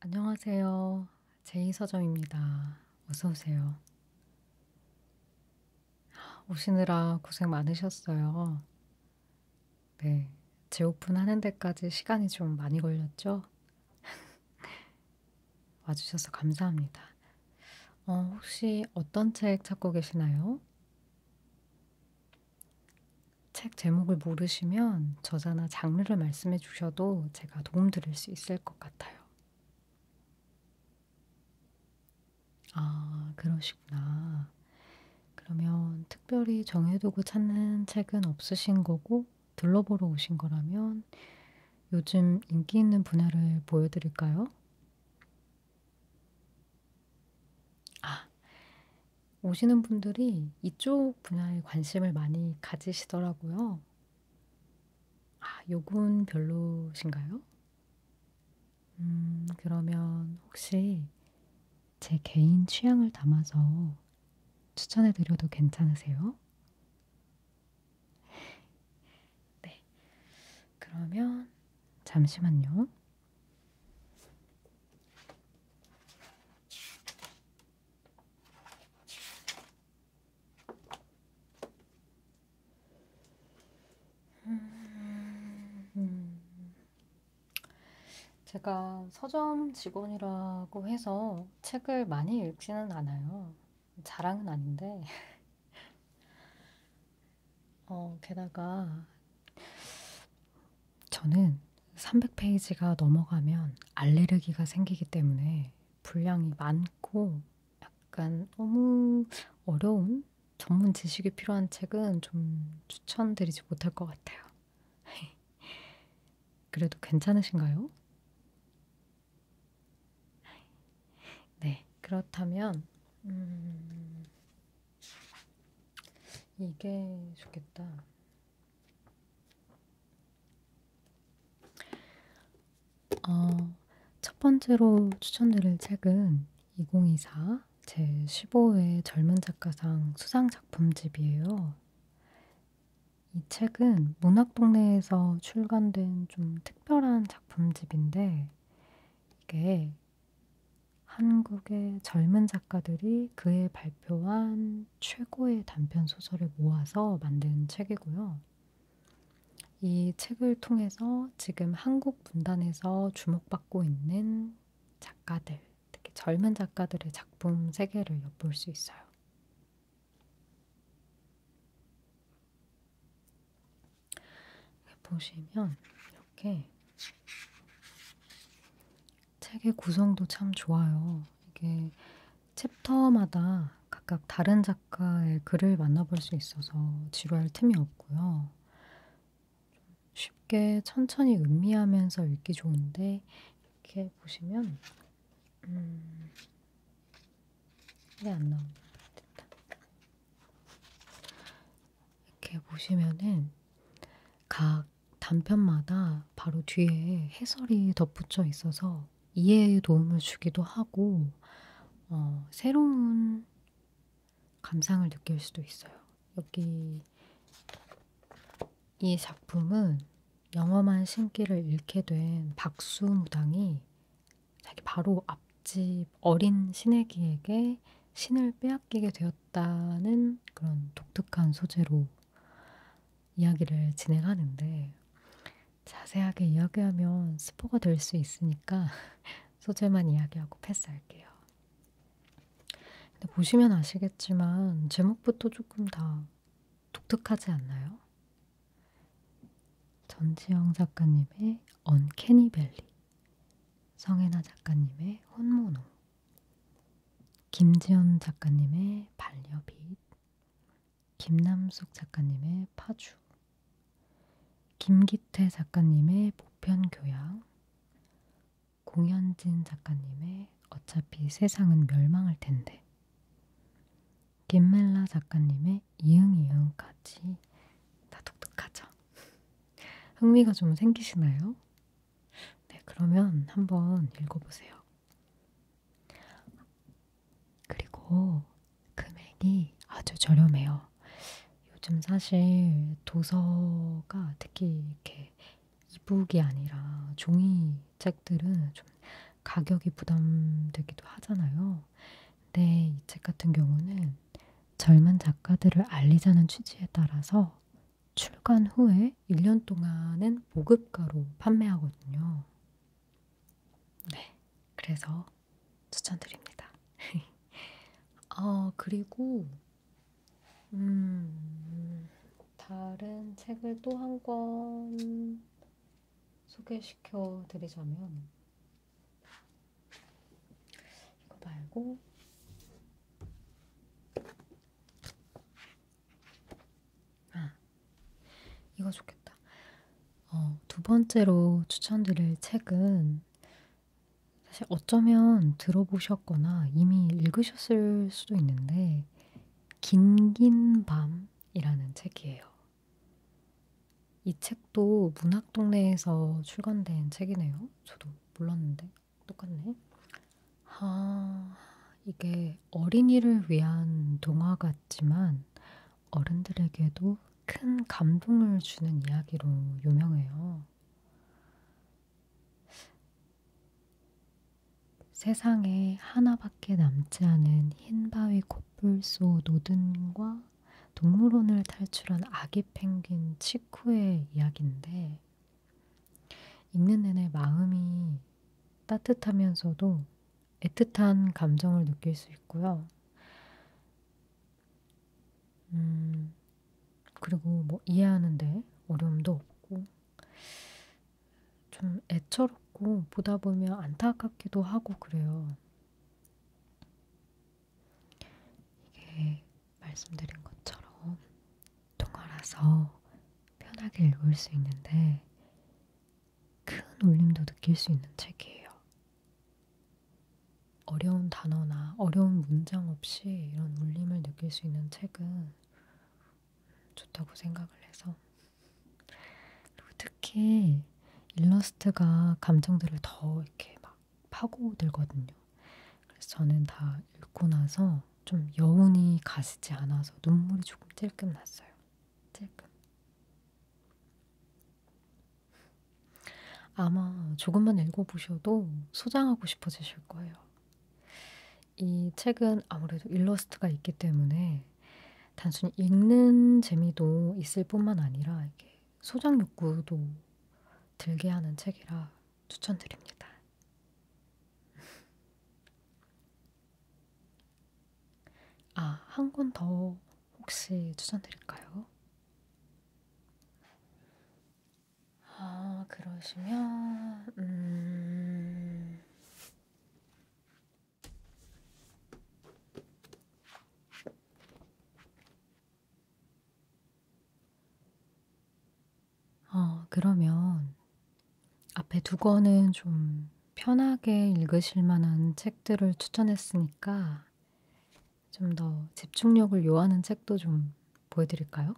안녕하세요. 제이서점입니다. 어서오세요. 오시느라 고생 많으셨어요. 네. 재오픈하는 데까지 시간이 좀 많이 걸렸죠? 와주셔서 감사합니다. 어, 혹시 어떤 책 찾고 계시나요? 책 제목을 모르시면 저자나 장르를 말씀해 주셔도 제가 도움드릴 수 있을 것 같아요. 아, 그러시구나. 그러면 특별히 정해두고 찾는 책은 없으신 거고 둘러보러 오신 거라면 요즘 인기 있는 분야를 보여드릴까요? 아. 오시는 분들이 이쪽 분야에 관심을 많이 가지시더라고요. 아, 요건 별로신가요? 음, 그러면 혹시 제 개인 취향을 담아서 추천해 드려도 괜찮으세요? 네. 그러면 잠시만요. 음, 제가 서점 직원이라고 해서 책을 많이 읽지는 않아요. 자랑은 아닌데 어, 게다가 저는 300페이지가 넘어가면 알레르기가 생기기 때문에 분량이 많고 약간 너무 어려운 전문 지식이 필요한 책은 좀 추천드리지 못할 것 같아요. 그래도 괜찮으신가요? 네, 그렇다면 음, 이게 좋겠다. 어, 첫 번째로 추천드릴 책은 2024 제15회 젊은 작가상 수상작품집이에요. 이 책은 문학동네에서 출간된 좀 특별한 작품집인데, 이게 한국의 젊은 작가들이 그해 발표한 최고의 단편 소설을 모아서 만든 책이고요. 이 책을 통해서 지금 한국 문단에서 주목받고 있는 작가들, 특히 젊은 작가들의 작품 세계를 엿볼 수 있어요. 보시면 이렇게 책의 구성도 참 좋아요. 이게 챕터마다 각각 다른 작가의 글을 만나볼 수 있어서 지루할 틈이 없고요. 쉽게 천천히 음미하면서 읽기 좋은데 이렇게 보시면 음... 왜안 나오나? 됐다. 이렇게 보시면은 각 단편마다 바로 뒤에 해설이 덧붙여 있어서 이해에 도움을 주기도 하고 어, 새로운 감상을 느낄 수도 있어요. 여기 이 작품은 영험한 신기를 잃게 된 박수무당이 자기 바로 앞 옆집 어린 신에게에게 신을 빼앗기게 되었다는 그런 독특한 소재로 이야기를 진행하는데 자세하게 이야기하면 스포가 될 수 있으니까 소재만 이야기하고 패스할게요. 근데 보시면 아시겠지만 제목부터 조금 다 독특하지 않나요? 전지영 작가님의 언캐니밸리 성혜나 작가님의 혼모노, 김지연 작가님의 반려빛, 김남숙 작가님의 파주, 김기태 작가님의 보편교양, 공현진 작가님의 어차피 세상은 멸망할 텐데, 김멜라 작가님의 이응이응까지 다 독특하죠. 흥미가 좀 생기시나요? 네, 그러면 한번 읽어보세요. 그리고 금액이 아주 저렴해요. 요즘 사실 도서가 특히 이렇게 이북이 아니라 종이 책들은 좀 가격이 부담되기도 하잖아요. 근데 이 책 같은 경우는 젊은 작가들을 알리자는 취지에 따라서 출간 후에 1년 동안은 보급가로 판매하거든요. 네, 그래서 추천드립니다. 어, 그리고 음, 다른 책을 또 한 권 소개시켜 드리자면 이거 말고 아 이거 좋겠다. 어, 두 번째로 추천드릴 책은 사실 어쩌면 들어보셨거나 이미 읽으셨을 수도 있는데 긴긴 밤이라는 책이에요. 이 책도 문학동네에서 출간된 책이네요. 저도 몰랐는데 똑같네. 아, 이게 어린이를 위한 동화 같지만 어른들에게도 큰 감동을 주는 이야기로 유명해요. 세상에 하나밖에 남지 않은 흰 바위 코뿔소 노든과 동물원을 탈출한 아기 펭귄 치쿠의 이야기인데 읽는 내내 마음이 따뜻하면서도 애틋한 감정을 느낄 수 있고요. 음, 그리고 뭐 이해하는데 어려움도 없고 좀 애처롭고 보다 보면 안타깝기도 하고 그래요. 이게 말씀드린 것처럼 동화라서 편하게 읽을 수 있는데 큰 울림도 느낄 수 있는 책이에요. 어려운 단어나 어려운 문장 없이 이런 울림을 느낄 수 있는 책은 좋다고 생각을 해서 그리고 특히 일러스트가 감정들을 더 이렇게 막막 파고들거든요. 그래서 저는 다 읽고 나서 좀 여운이 가시지 않아서 눈물이 조금 찔끔 났어요. 찔끔. 아마 조금만 읽어보셔도 소장하고 싶어지실 거예요. 이 책은 아무래도 일러스트가 있기 때문에 단순히 읽는 재미도 있을 뿐만 아니라 이렇게 소장 욕구도 들게 하는 책이라 추천드립니다. 아, 한 권 더 혹시 추천드릴까요? 아, 그러시면, 음, 어 그러면 앞에 2 권은 좀 편하게 읽으실 만한 책들을 추천했으니까 좀 더 집중력을 요하는 책도 좀 보여 드릴까요?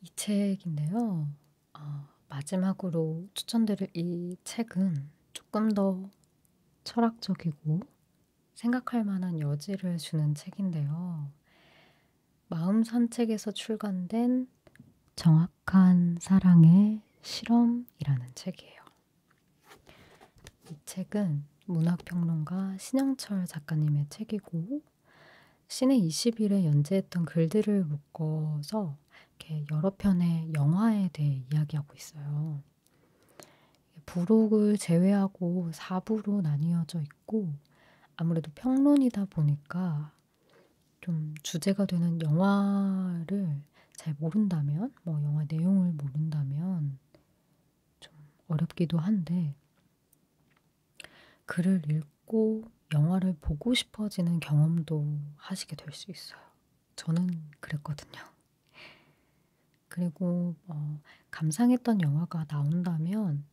이 책인데요. 어, 마지막으로 추천드릴 이 책은 조금 더 철학적이고 생각할 만한 여지를 주는 책인데요. 마음 산책에서 출간된 정확한 사랑의 실험이라는 책이에요. 이 책은 문학평론가 신영철 작가님의 책이고 시내 20일에 연재했던 글들을 묶어서 이렇게 여러 편의 영화에 대해 이야기하고 있어요. 부록을 제외하고 4부로 나뉘어져 있고 아무래도 평론이다 보니까 좀 주제가 되는 영화를 잘 모른다면, 뭐 영화 내용을 모른다면 좀 어렵기도 한데 글을 읽고 영화를 보고 싶어지는 경험도 하시게 될 수 있어요. 저는 그랬거든요. 그리고 어, 감상했던 영화가 나온다면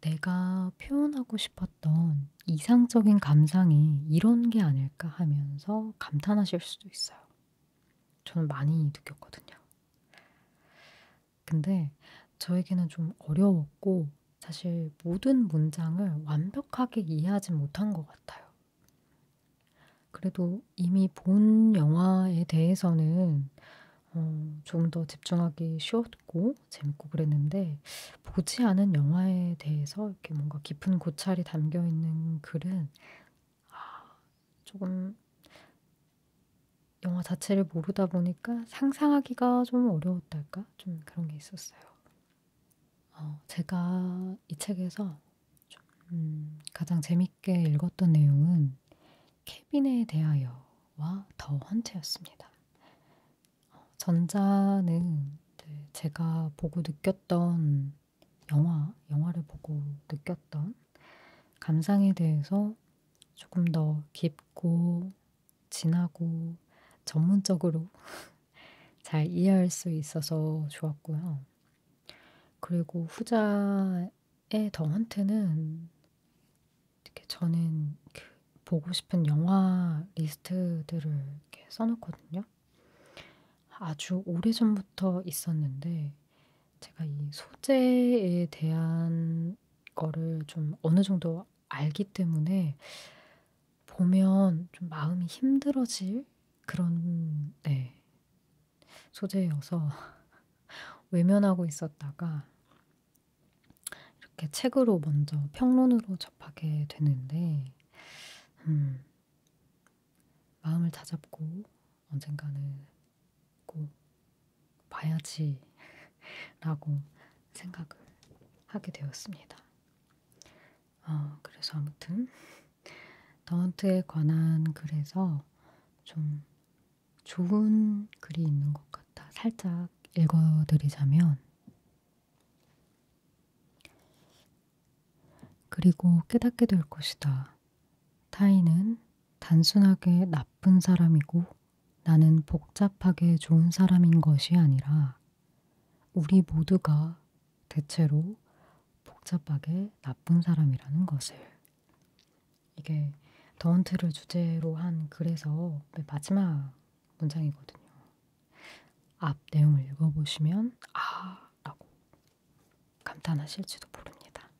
내가 표현하고 싶었던 이상적인 감상이 이런 게 아닐까 하면서 감탄하실 수도 있어요. 저는 많이 느꼈거든요. 근데 저에게는 좀 어려웠고 사실 모든 문장을 완벽하게 이해하지 못한 것 같아요. 그래도 이미 본 영화에 대해서는 어, 조금 더 집중하기 쉬웠고 재밌고 그랬는데 보지 않은 영화에 대해서 이렇게 뭔가 깊은 고찰이 담겨 있는 글은 아, 조금 영화 자체를 모르다 보니까 상상하기가 좀 어려웠달까? 좀 그런 게 있었어요. 어, 제가 이 책에서 좀, 음, 가장 재밌게 읽었던 내용은 케빈에 대하여와 더 헌트였습니다. 어, 전자는 제가 보고 느꼈던 영화, 영화를 보고 느꼈던 감상에 대해서 조금 더 깊고 진하고 전문적으로 잘 이해할 수 있어서 좋았고요. 그리고 후자의 덩한테는 이렇게 저는 그 보고 싶은 영화 리스트들을 이렇게 써놓거든요. 아주 오래전부터 있었는데 제가 이 소재에 대한 이런 거를 좀 어느 정도 알기 때문에 보면 좀 마음이 힘들어질 그런 네, 소재여서 외면하고 있었다가 이렇게 책으로 먼저 평론으로 접하게 되는데 음, 마음을 다잡고 언젠가는 꼭 봐야지라고 생각을 하게 되었습니다. 어, 그래서 아무튼 더헌트에 관한 글에서 좀 좋은 글이 있는 것 같아 살짝 읽어드리자면 그리고 깨닫게 될 것이다. 타인은 단순하게 나쁜 사람이고 나는 복잡하게 좋은 사람인 것이 아니라 우리 모두가 대체로 복잡하게 나쁜 사람이라는 것을. 이게 더운트를 주제로 한 글에서 마지막 문장이거든요. 앞 내용을 읽어보시면 아! 라고 감탄하실지도 모릅니다.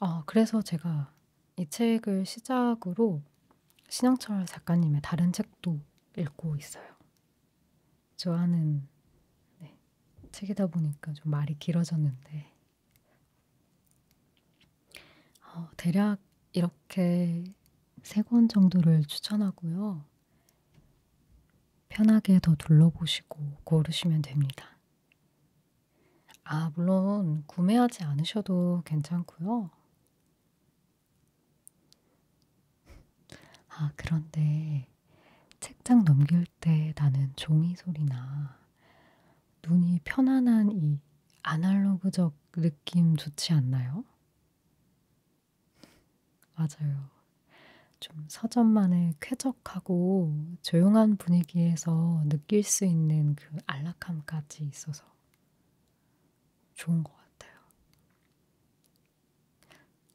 아 그래서 제가 이 책을 시작으로 신영철 작가님의 다른 책도 읽고 있어요. 좋아하는 네, 책이다 보니까 좀 말이 길어졌는데 어, 대략 이렇게 세 권 정도를 추천하고요. 편하게 더 둘러보시고 고르시면 됩니다. 아, 물론 구매하지 않으셔도 괜찮고요. 아, 그런데 책장 넘길 때 나는 종이 소리나 눈이 편안한 이 아날로그적 느낌 좋지 않나요? 맞아요. 좀 서점만의 쾌적하고 조용한 분위기에서 느낄 수 있는 그 안락함까지 있어서 좋은 것 같아요.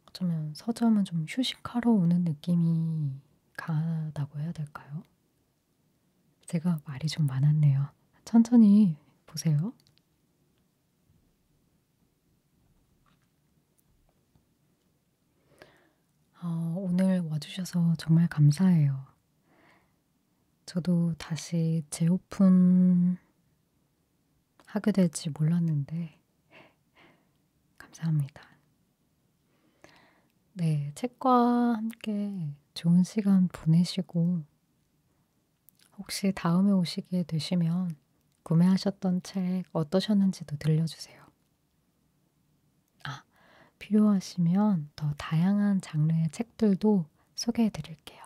어쩌면 서점은 좀 휴식하러 오는 느낌이 강하다고 해야 될까요? 제가 말이 좀 많았네요. 천천히 보세요. 어, 오늘 와주셔서 정말 감사해요. 저도 다시 재오픈 하게 될지 몰랐는데 감사합니다. 네, 책과 함께 좋은 시간 보내시고 혹시 다음에 오시게 되시면 구매하셨던 책 어떠셨는지도 들려주세요. 아, 필요하시면 더 다양한 장르의 책들도 소개해 드릴게요.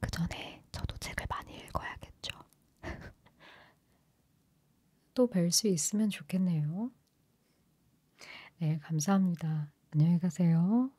그 전에 저도 책을 많이 읽어야겠죠. 또 뵐 수 있으면 좋겠네요. 네, 감사합니다. 안녕히 가세요.